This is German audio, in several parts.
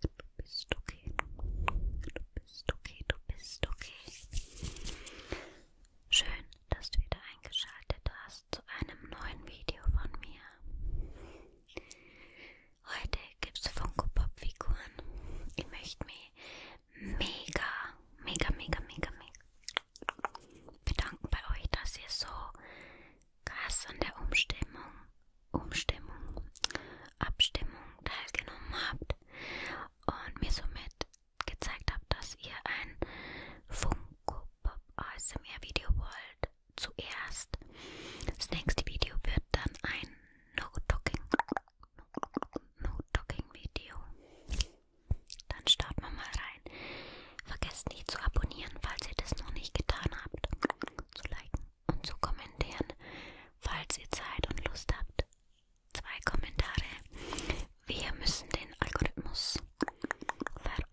Du bist okay. Du bist okay, du bist okay. Schön, dass du wieder eingeschaltet hast zu einem neuen Video von mir. Heute gibt es Funko Pop Figuren. Ich möchte mich mega, mega, mega, mega, mega bedanken bei euch, dass ihr so krass an der Umstimmung Umstimmung, Abstimmung teilgenommen habt und mir somit gezeigt habt, dass ihr ein Funko Pop ASMR Video wollt. Zuerst. Das nächste Video wird dann ein No-Talking no Video. Dann starten wir mal rein. Vergesst nicht zu abonnieren, falls ihr das noch nicht getan habt. Zu liken, und zu kommentieren, falls ihr Zeit und Lust habt. Zwei Kommentare. Wir müssen den Algorithmus verarschen.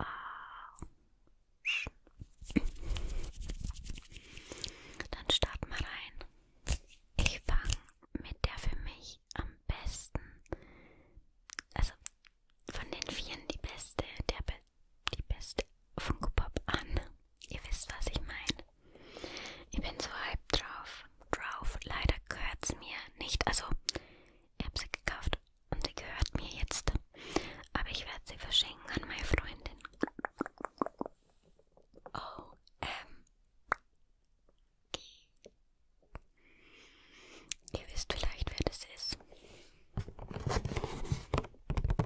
Dann starten wir rein. Ich fange mit der für mich am besten, also von den Vieren die beste, der beste die beste Funko Pop an. Ihr wisst, was ich meine. Ich bin so hype drauf. Drauf. Leider gehört es mir nicht. Also, ich habe sie gekauft und sie gehört mir jetzt. Aber ich werde sie verschenken an meine Freundin. Oh, ähm. Ihr wisst vielleicht, wer das ist.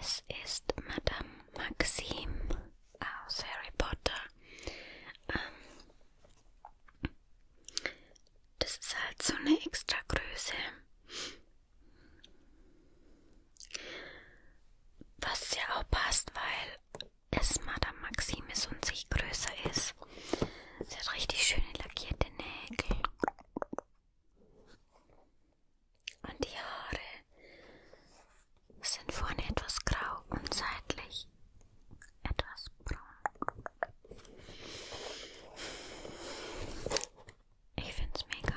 Es ist Madame Maxim aus Harry Potter. Ähm, das ist halt so eine extra Größe. Was ja auch passt, weil es Madame Maxim ist und sich größer ist. Sie hat richtig schöne lackierte Nägel. Und die Haare sind vorne etwas grau und seitlich etwas braun. Ich find's mega.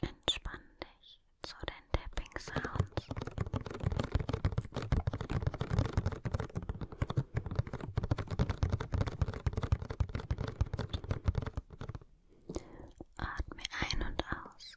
Entspann dich zu den Tapping Sounds. Atme ein und aus.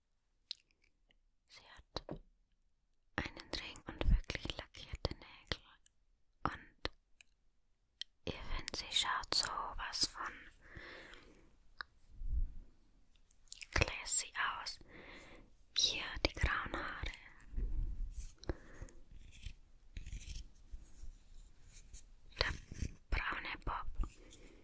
Sie hat einen Ring und wirklich lackierte Nägel. Und ihr findet, sie schaut so was von classy aus. Hier die grauen Haare. Der braune Bob.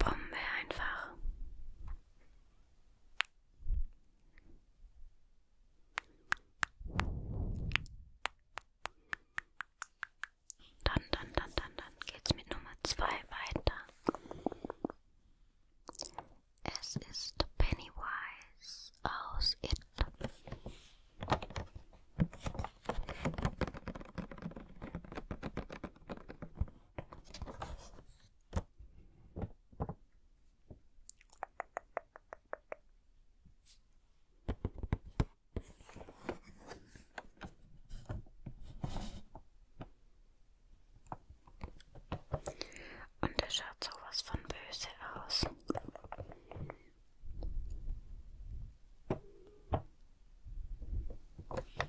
Bombe einfach. Dann, dann, dann, dann, dann geht's mit Nummer zwei weiter. Es ist Pennywise aus It. Und er schaut sowas von böse aus.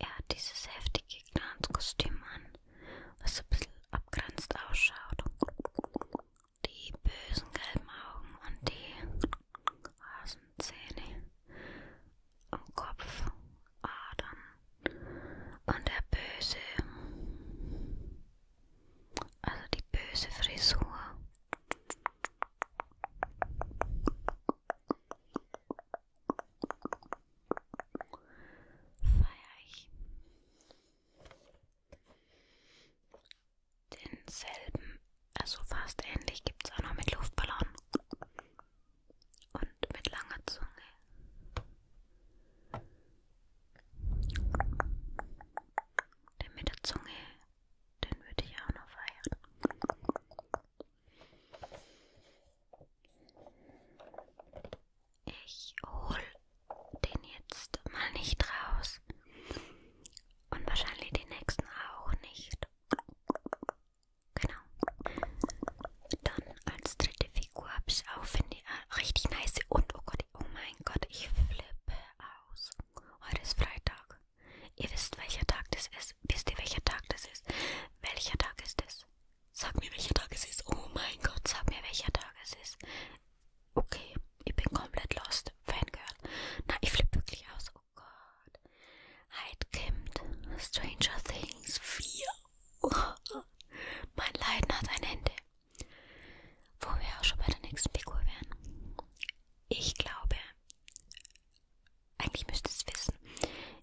Er hat dieses heftige Glanzkostüm an, was ein bisschen abgrenzt ausschaut. Die bösen gelben Augen und die Hasenzähne am Kopf, Adern und der böse, also die böse Frisur feiere ich denselben, also fast ähnlich gibt es auch noch mit Luftballon und mit langer Zunge. Den mit der Zunge, den würde ich auch noch feiern. Ich hol den jetzt mal nicht raus. Und wahrscheinlich die nächsten auch nicht. Genau. Dann als dritte Figur habe ich auch, finde ich, ah, äh, richtig nice. Und oh Gott, oh mein Gott, ich flippe aus. Heute ist Freitag. Ihr wisst, welcher Tag das ist. Wisst ihr, welcher Tag das ist? Welcher Tag ist das? Sag mir, welcher Tag es ist. Oh mein Gott, sag mir, welcher Tag es ist. Okay, ich bin komplett lost. Fangirl. Na, ich flippe wirklich aus. Oh Gott. Hyde halt, Kimmt. Stranger Things 4. Oh. Mein Leiden hat ein Ende. Wo wir auch schon bei der nächsten Figur wären. Ich glaube, eigentlich müsst ihr es wissen,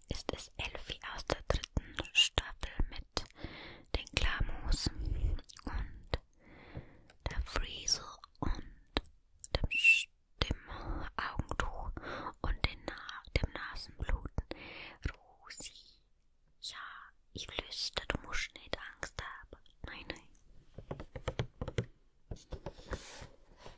ist es Elfie aus der dritten Staffel mit den Klamos und der Friese und dem, dem Augentuch und den Na dem Nasenbluten. Rosi, ja, ich flüstere, du musst nicht Angst haben. Nein, nein.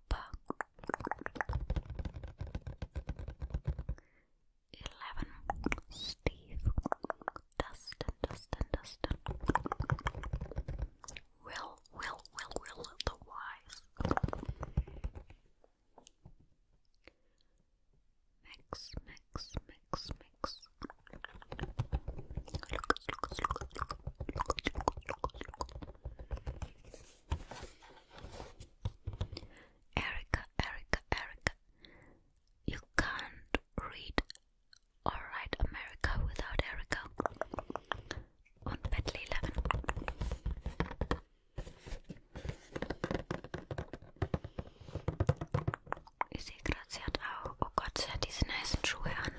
11. Steve. Dustin, Dustin, Dustin. Will, Will, Will, Will, the wise. Mix, mix, mix, mix. Lucas, Lucas, Lucas, Lucas, Lucas, Lucas, Lucas. Erica, Erica, Erica, you can't read or write America without Erica. Und Bentley 11. Ich sehe Oh Gott, sie hat diese nice Schuhe an.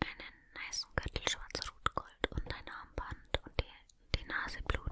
einen niceen Gürtel schwarz-rot-gold und ein Armband und die, die Nase blutet.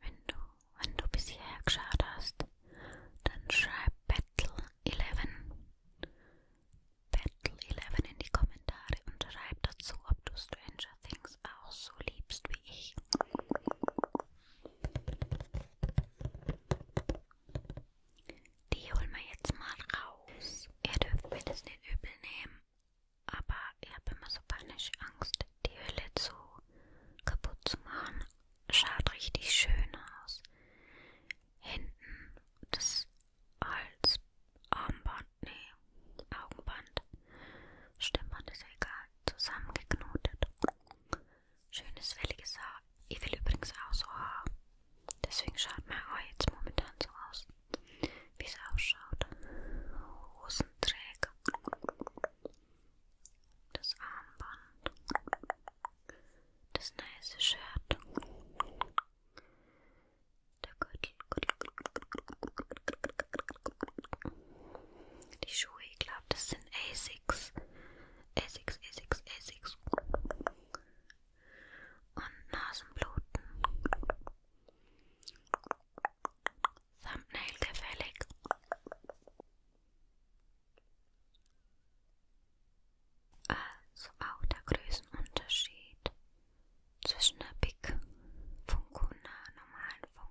Wenn du, wenn du bis hierher geschaut hast, dann schreib Battle 11. Battle 11 in die Kommentare und schreib dazu, ob du Stranger Things auch so liebst wie ich. Die holen wir jetzt mal raus. Ihr dürft mir das nicht übel nehmen, aber ich habe immer so panisch Angst, die Hülle zu kaputt zu machen. Schaut richtig schön aus. Hinten das Hals, Armband, nee, Augenband. Stimmt, man ist egal zusammengeknotet. Schönes, welliges Haar. Ich will übrigens auch so Haar. Deswegen schaut mein Haar jetzt momentan so aus, wie es ausschaut. Hosenträger. Das Armband. Das nice Shirt. Der Gürtel. Die Schuhe, ich glaube, das sind Asics. Asics, Asics, Asics. Und Nasenbluten. Thumbnail gefällig. Also auch der Größenunterschied zwischen der Big Funko und einer normalen Funko.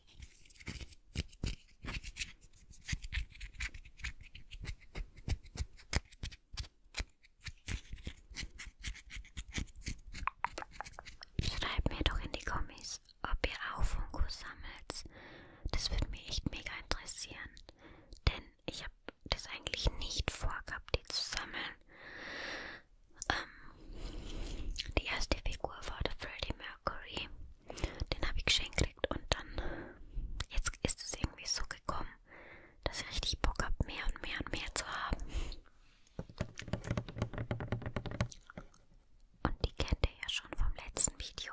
Schreib mir doch in die Kommis, ob ihr auch Funkos sammelt. Das würde mich echt mega interessieren. Denn ich habe das eigentlich nicht vorgehabt, die zu sammeln. Ähm, die erste Figur war der Freddie Mercury. Den habe ich geschenkt gekriegt und dann, jetzt ist es irgendwie so gekommen, dass ich richtig Bock habe, mehr und mehr und mehr zu haben. Und die kennt ihr ja schon vom letzten Video.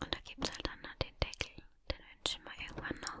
Und da gibt es halt dann noch den Deckel. Den wünschen wir irgendwann noch.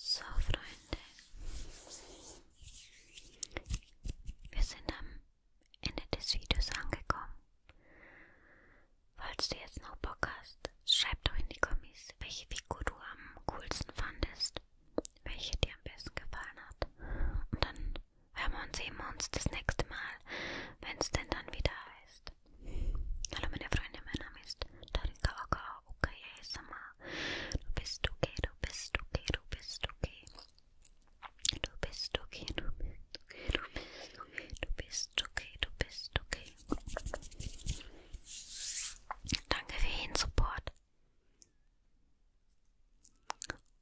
So, Freunde, wir sind am Ende des Videos angekommen. Falls du jetzt noch Bock hast, schreib doch in die Kommis, welche Figur du am coolsten fandest, welche dir am besten gefallen hat. Und dann hören wir und sehen wir uns das nächste Mal, wenn es denn dann wieder heißt. Hallo meine Freunde, mein Name ist Tarika Oka Okaye Sama. Du bist okay, du bist okay, du bist okay. Du bist okay, du bist okay, du bist okay, du bist okay. Du bist okay, du bist okay, du bist okay bist okay, du bist okay. Danke für den Support.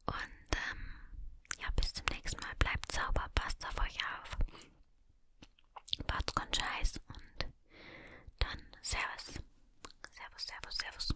Und ähm, ja, bis zum nächsten Mal. Bleibt sauber, passt auf euch auf. Baut's ganz scheiß und dann Servus. Servus, Servus, Servus.